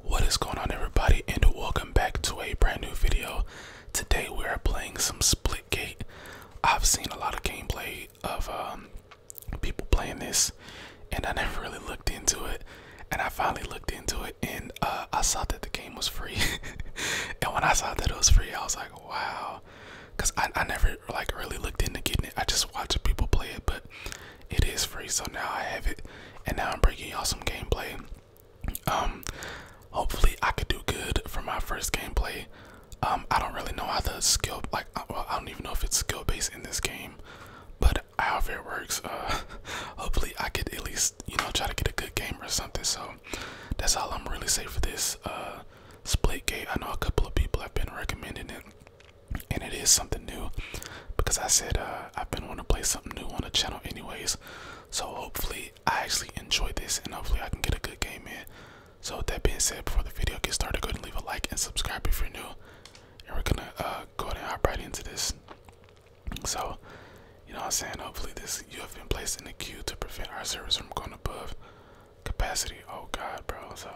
What is going on everybody and welcome back to a brand new video. Today we are playing some Splitgate. I've seen a lot of gameplay of um, people playing this and I never really looked into it and I finally looked into it and uh, I saw that the game was free. and when I saw that it was free I was like wow because I, I never like really looked into getting it. I just watched people play it but it is free so now i have it and now i'm breaking y'all some gameplay um hopefully i could do good for my first gameplay um i don't really know how the skill like uh, i don't even know if it's skill based in this game but however it works uh hopefully i could at least you know try to get a good game or something so that's all i'm really saying for this uh, split gate i know a couple of people have been recommending it and it is something new because I said uh, I've been wanting to play something new on the channel anyways so hopefully I actually enjoy this and hopefully I can get a good game in so that being said before the video gets started go ahead and leave a like and subscribe if you're new and we're gonna uh, go ahead and hop right into this so you know what I'm saying hopefully this you have been placed in the queue to prevent our servers from going above capacity oh god bro so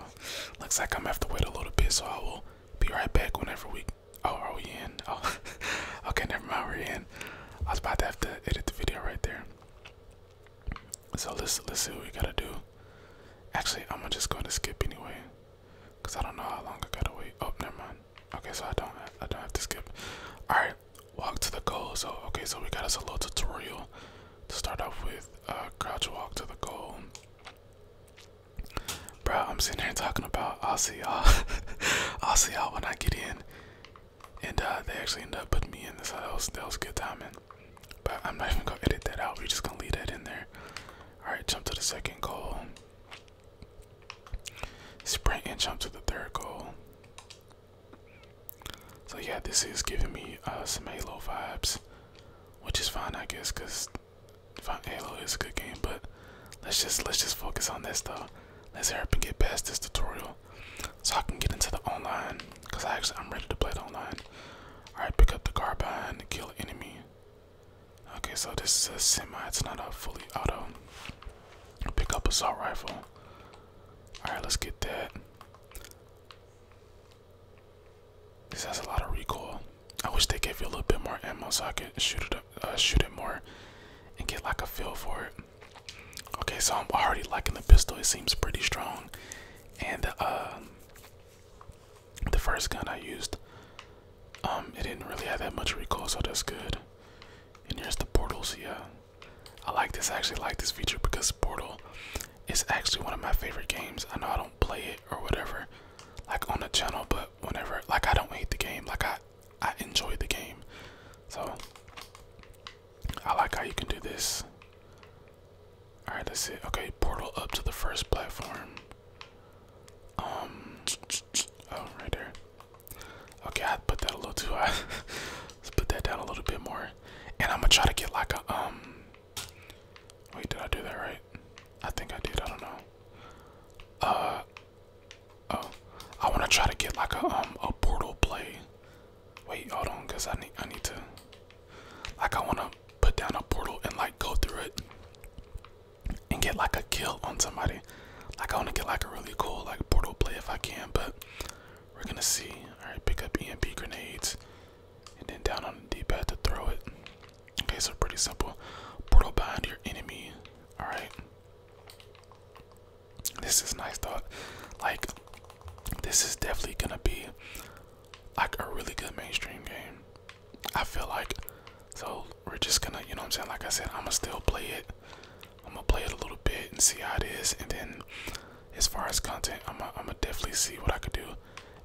looks like I'm gonna have to wait a little bit so I will be right back whenever we. Oh, are we in? Oh, okay, never mind. We're in. I was about to have to edit the video right there. So let's let's see what we gotta do. Actually, I'm gonna just going to skip anyway, cause I don't know how long I gotta wait. Oh, never mind. Okay, so I don't I don't have to skip. All right, walk to the goal. So okay, so we got us a little tutorial to start off with. Uh, crouch walk to the goal. Bro, I'm sitting here talking about I'll see y'all. I'll see y'all when I get in. And uh, they actually end up putting me in this. So uh, that was, that was good timing. But I'm not even gonna edit that out. We're just gonna leave that in there. Alright, jump to the second goal. Sprint and jump to the third goal. So yeah, this is giving me uh, some Halo vibes, which is fine, I guess, because Halo is a good game, but let's just let's just focus on this though. Let's hurry up and get past this tutorial, so I can get into the online. Cause I actually I'm ready to play the online. All right, pick up the carbine to kill enemy. Okay, so this is a semi. It's not a fully auto. Pick up assault rifle. All right, let's get that. This has a lot of recoil. I wish they gave you a little bit more ammo so I could shoot it, uh, shoot it more, and get like a feel for it. Okay, so I'm already liking the pistol. It seems pretty strong, and uh, the first gun I used, um, it didn't really have that much recoil, so that's good. And here's the portals. Yeah, I like this. I actually like this feature because portal, it's actually one of my favorite games. I know I don't play it or whatever, like on the channel, but whenever, like I don't hate the game. Like I, I enjoy the game. So I like how you can do this. All right, right, let's see. Okay, portal up to the first platform. Um, oh, right there. Okay, I put that a little too high. Let's put that down a little bit more. And I'm gonna try to get like a um Wait, did I do that right? I think I did. I don't know. Uh oh, I want to try to get like a um a portal play. Wait, hold on, cause I need I need to like I want to put down a portal and like go through it and get like a kill on somebody. Like I want to get like a really cool like portal play if I can, but we're gonna see. All right, pick up EMP grenades and then down on the d-pad to throw it okay so pretty simple portal behind your enemy all right this is nice though like this is definitely gonna be like a really good mainstream game i feel like so we're just gonna you know i'm saying like i said i'm gonna still play it i'm gonna play it a little bit and see how it is and then as far as content i'm gonna definitely see what i could do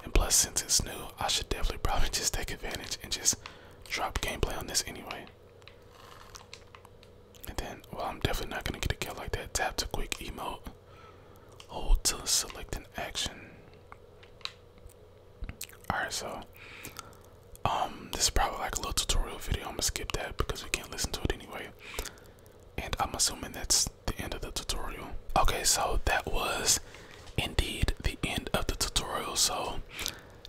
and plus, since it's new, I should definitely probably just take advantage and just drop gameplay on this anyway. And then, well, I'm definitely not gonna get a kill like that. Tap to quick emote. Hold to select an action. Alright, so um, this is probably like a little tutorial video. I'm gonna skip that because we can't listen to it anyway. And I'm assuming that's the end of the tutorial. Okay, so that was indeed the end of the tutorial. So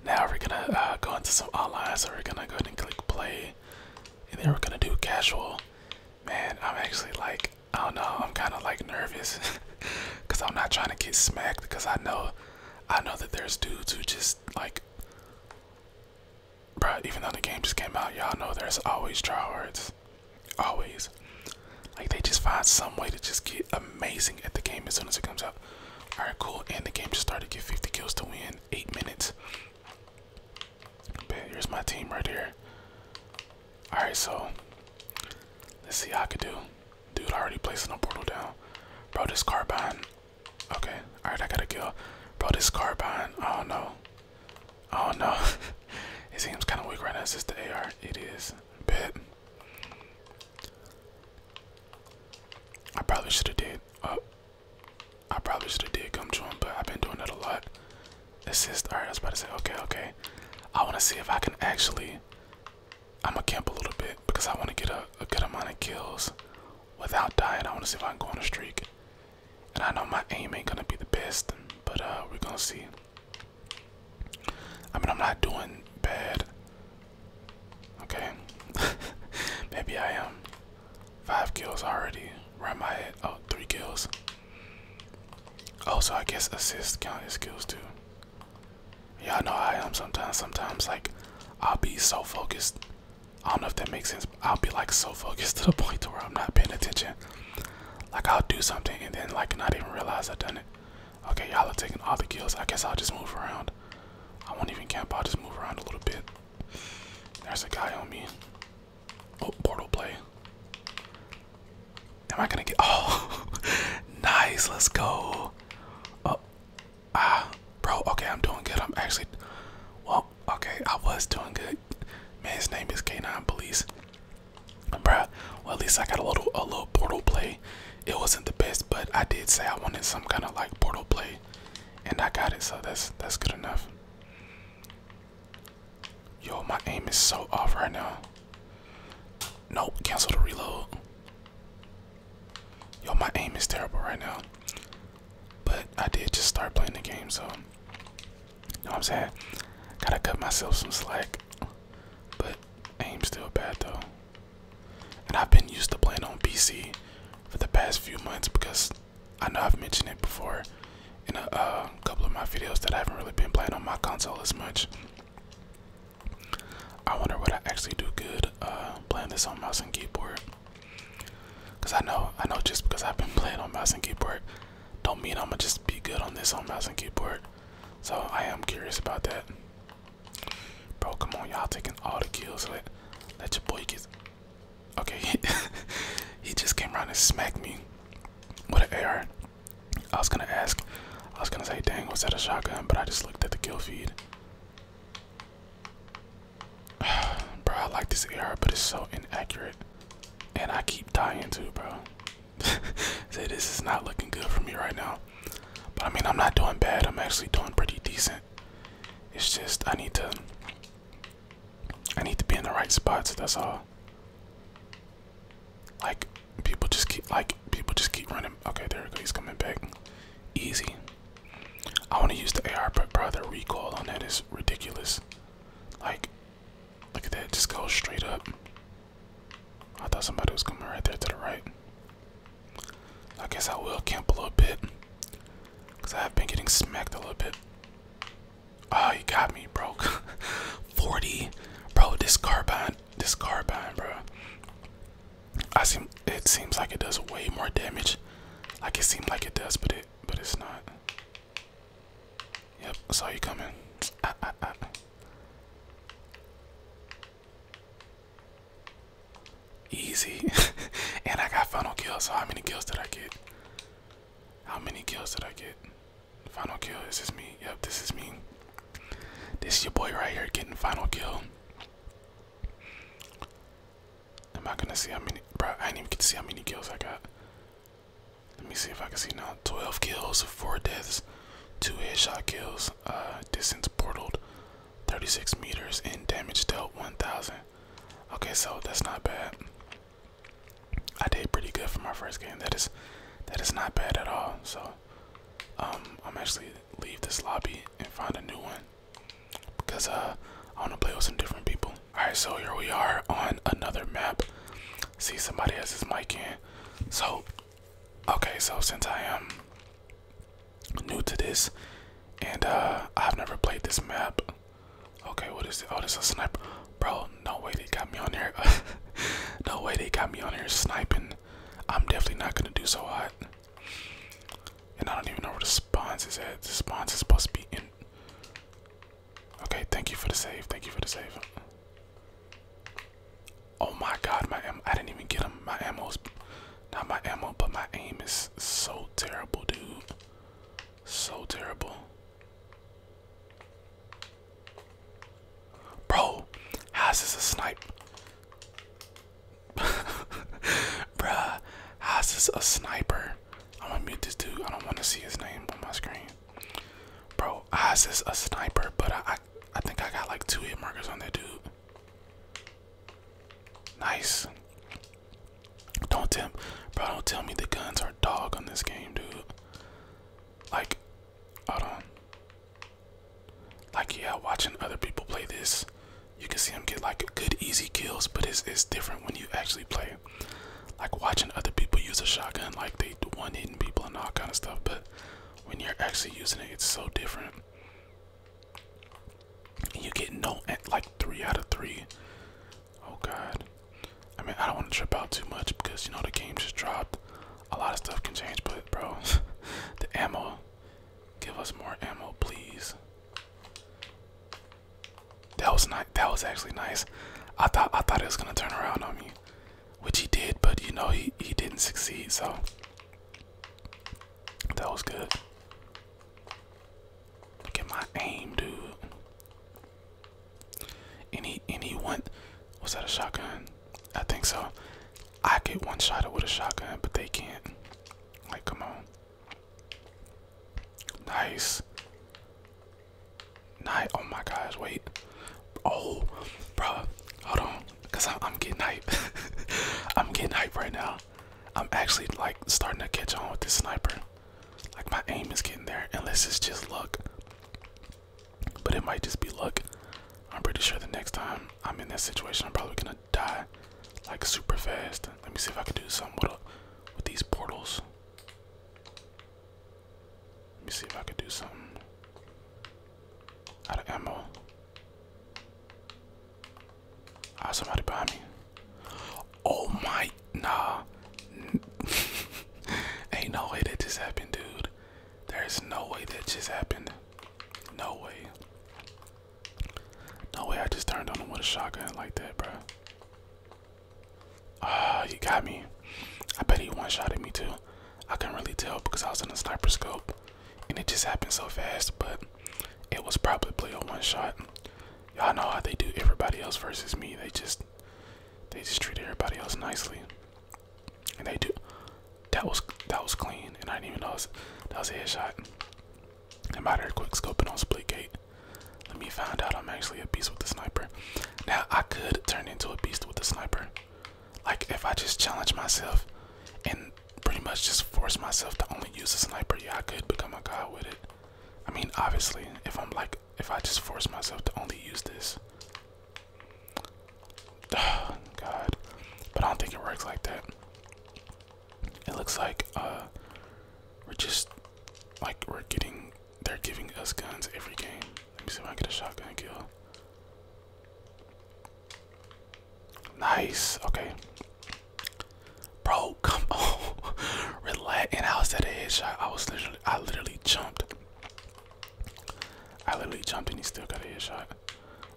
now we're gonna uh, go into some online. So we're gonna go ahead and click play, and then we're gonna do casual. Man, I'm actually like, I don't know, I'm kind of like nervous because I'm not trying to get smacked because I know, I know that there's dudes who just like bruh, even though the game just came out, y'all know there's always tryhards. Always. Like they just find some way to just get amazing at the game as soon as it comes out. Alright, cool. And the game just started get 50 kills to win. Eight minutes. But here's my team right here. Alright, so let's see I could do. Dude already placing a portal down. Bro, this carbine. Okay. Alright, I gotta kill. Bro, this carbine. Oh no. Oh no, it seems kind of weak right now. It's just the AR. It is. bit. I probably should have did. Uh, I probably should have did come to him, but I've been doing that a lot. Assist. All right, I was about to say. Okay, okay. I want to see if I can actually. I'm gonna camp a little bit because I want to get a good amount of kills without dying. I want to see if I can go on a streak. And I know my aim ain't gonna be the best, but uh, we're gonna see. I mean, I'm not doing bad. Okay, maybe I am. Five kills already. Right my head. Oh, three kills. Oh, so I guess assists count as kills too. Y'all know I am sometimes. Sometimes, like, I'll be so focused I don't know if that makes sense. I'll be like so focused to the point to where I'm not paying attention. Like I'll do something and then like not even realize I've done it. Okay, y'all are taking all the kills. I guess I'll just move around. I won't even camp. I'll just move around a little bit. There's a guy on me. Oh, portal play. Am I gonna get? Oh, nice. Let's go. Oh, ah, bro. Okay, I'm doing good. I'm actually. Well, okay. I was doing good. Man's name is K9 Police. Bruh, well at least I got a little a little portal play. It wasn't the best, but I did say I wanted some kind of like portal play. And I got it, so that's that's good enough. Yo, my aim is so off right now. Nope, cancel the reload. Yo, my aim is terrible right now. But I did just start playing the game, so you know what I'm saying? Gotta cut myself some slack. But aim's still bad though. And I've been used to playing on PC for the past few months because I know I've mentioned it before in a uh, couple of my videos that I haven't really been playing on my console as much. I wonder what I actually do good uh, playing this on mouse and keyboard. Cause I know, I know, just because I've been playing on mouse and keyboard, don't mean I'm gonna just be good on this on mouse and keyboard. So I am curious about that. Bro, come on, y'all taking all the kills. Let, let your boy get. Okay, he just came around and smacked me What an AR. I was gonna ask, I was gonna say, dang, was that a shotgun? But I just looked at the kill feed. bro, I like this error, but it's so inaccurate. And I keep dying too, bro. See, this is not looking good for me right now. But I mean, I'm not doing bad. I'm actually doing pretty decent. It's just I need to I need to be in the right spots, that's all. Like people just keep like people just keep running. Okay, there we go. He's coming back. Easy. I want to use the AR, but brother, the recoil on that is ridiculous. Like, look at that, just goes straight up. I thought somebody was coming right there to the right. I guess I will camp a little bit. Because I have been getting smacked a little bit. Oh, you got me, bro. 40. Bro, this carbine, this carbine, bro. I seem it seems like it does way more damage. Like it seems like it does, but it but it's not. Yep, I saw you coming. Ah, ah, ah. Easy, and I got final kill. So how many kills did I get? How many kills did I get? Final kill. This Is me? Yep, this is me. This is your boy right here getting final kill i Am not gonna see how many? Bro, I did even get to see how many kills I got. Let me see if I can see now. 12 kills, 4 deaths, 2 headshot kills, uh, distance portaled 36 meters, and damage dealt 1000. Okay, so that's not bad. I did pretty good for my first game. That is that is not bad at all. So um I'm actually leave this lobby and find a new one because uh I want to play with some different people. All right, so here we are on another map. See somebody has his mic in. So okay, so since I am new to this and uh, I've never played this map. Okay, what is it? Oh, this a sniper. Bro, no way they got me on here. no way they got me on here sniping. I'm definitely not gonna do so hot. And I don't even know where the spawns is at. The spawns is supposed to be in. Okay, thank you for the save. Thank you for the save. Oh my god, my ammo. I didn't even get him. My ammo is Not my ammo, but my aim is so terrible, dude. So terrible. Bro, how's this a snipe? Bruh, how's this a sniper? I'm gonna mute this dude. I don't wanna see his name on my screen. Bro, how's this a sniper? But I, I think I got like two hit markers on that dude. Nice. Don't tell bro, don't tell me the guns are dog on this game, dude. Like, hold on. Like yeah, watching other people play this, you can see them get like good easy kills, but it's it's different when you actually play. Like watching other people use a shotgun, like they do one hitting people and all kind of stuff, but when you're actually using it, it's so different. you get no at like three out of three. Oh god. I mean I don't want to trip out too much because you know the game just dropped. A lot of stuff can change, but bro, the ammo Give us more ammo, please. That was nice. That was actually nice. I thought I thought it was gonna turn around on me, which he did, but you know he he didn't succeed. So that was good. Look my aim, dude. Any anyone? Was that a shotgun? I think so. I get one shot with a shotgun, but they can't. Like, come on. Nice. Night. Oh my gosh, wait. Oh, bro, hold on. Because I'm, getting hype. I'm getting hype right now. I'm actually like starting to catch on with this sniper. Like, my aim is getting there. And let's just, just look. But it might just be luck. I'm pretty sure the next time I'm in that situation, I'm probably gonna die like super fast. Let me see if I can do something with, these portals. Let me see if I can do something. Out of ammo. Ah, somebody behind me. Oh my, nah. Ain't no way that just happened, dude. There's no way that just happened. No way. No way I just turned on him with a shotgun like that, bro. Ah, uh, he got me. I bet he one shot at me too. I couldn't really tell because I was in a sniper scope and it just happened so fast, but it was probably a one shot. Y'all know how they do everybody else versus me. They just they just treat everybody else nicely. And they do. That was that was clean, and I didn't even know that was, that was a headshot. I'm out here quick scoping on split gate. Let me find out I'm actually a beast with the sniper. Now I could turn into a beast with the sniper. Like if I just challenge myself and pretty much just force myself to only use a sniper, yeah, I could become a god with it. I mean, obviously, if I'm like, if I just force myself to only use this, God, but I don't think it works like that. It looks like uh, we're just like we're getting. They're giving us guns every game. Let me see if I can get a shotgun kill. Nice. Okay. Bro, come on. Relax. And I was at a I was literally, I literally jumped. I literally jumped and he still got a headshot.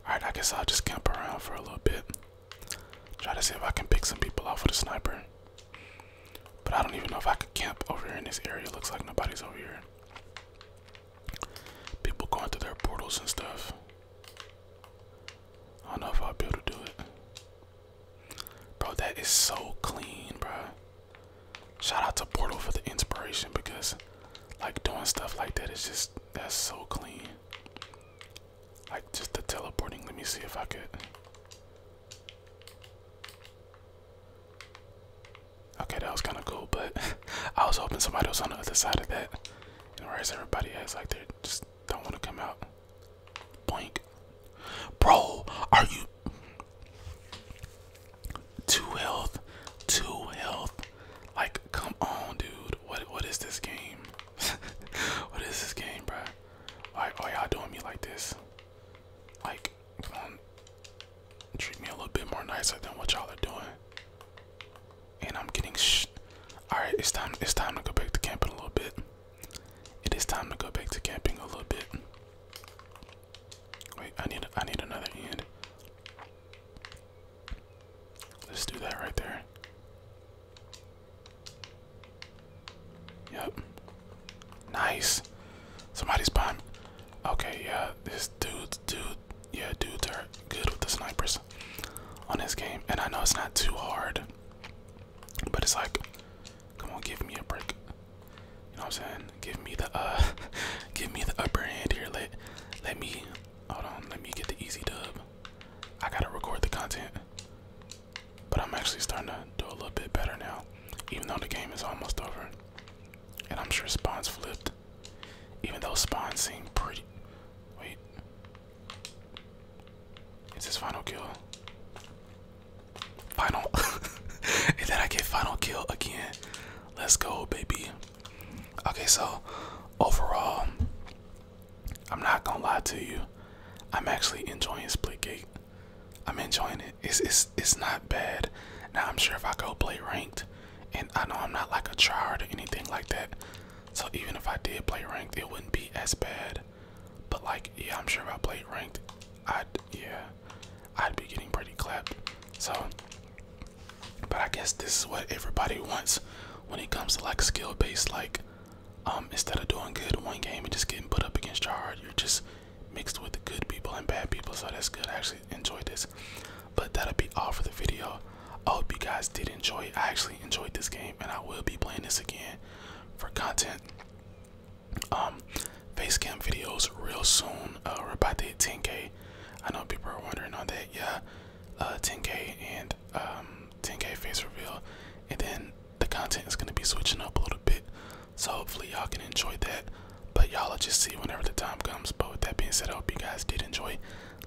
Alright, I guess I'll just camp around for a little bit. Try to see if I can pick some people off with a sniper. But I don't even know if I could camp over here in this area. Looks like nobody's over here. People going through their portals and stuff. I don't know if I'll be able to do it. Bro, that is so clean, bro. Shout out to Portal for the inspiration because like doing stuff like that is just that's so clean. Like just the teleporting. Let me see if I could. Okay, that was kind of cool, but I was hoping somebody was on the other side of that. And whereas everybody has like they just don't want to come out. Boink. Bro, are you to health, to health. Like, come on, dude. What what is this game? what is this game, bro? Like, why y'all doing me like this? Like, come um, on. Treat me a little bit more nicer than what y'all are doing. And I'm getting sh. All right, it's time. It's time to go back to camping a little bit. It is time to go back to camping a little bit. Wait, I need I need another end. Let's do that right there. Yep. Nice. Somebody's behind. Okay, yeah, this dude's dude, yeah, dudes are good with the snipers on this game, and I know it's not too hard, but it's like, come on, give me a break. You know what I'm saying? Give me the uh give me the upper hand here. Let let me hold on, let me get the easy dub. I gotta record the content. But I'm actually starting to do a little bit better now. Even though the game is almost over. And I'm sure spawns flipped. Even though spawns seem pretty wait. It's his final kill. Final. and then I get final kill again. Let's go, baby. Okay, so overall, I'm not gonna lie to you. I'm actually enjoying Splitgate. I'm enjoying it. It's it's it's not bad. Now I'm sure if I go play ranked, and I know I'm not like a tryhard or anything like that. So even if I did play ranked, it wouldn't be as bad. But like, yeah, I'm sure if I played ranked, I'd yeah, I'd be getting pretty clapped. So, but I guess this is what everybody wants when it comes to like skill based. Like, um, instead of doing good one game and just getting put up against your hard, you're just mixed with the good people and bad people. So that's good. I actually enjoyed this. But that'll be all for the video. I hope you guys did enjoy it. I actually enjoyed this game and I will be playing this again for content um face videos real soon uh, we're about to hit 10k i know people are wondering on that yeah uh 10k and um 10k face reveal and then the content is going to be switching up a little bit so hopefully y'all can enjoy that but y'all will just see whenever the time comes but with that being said i hope you guys did enjoy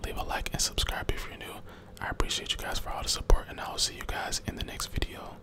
leave a like and subscribe if you're new i appreciate you guys for all the support and i'll see you guys in the next video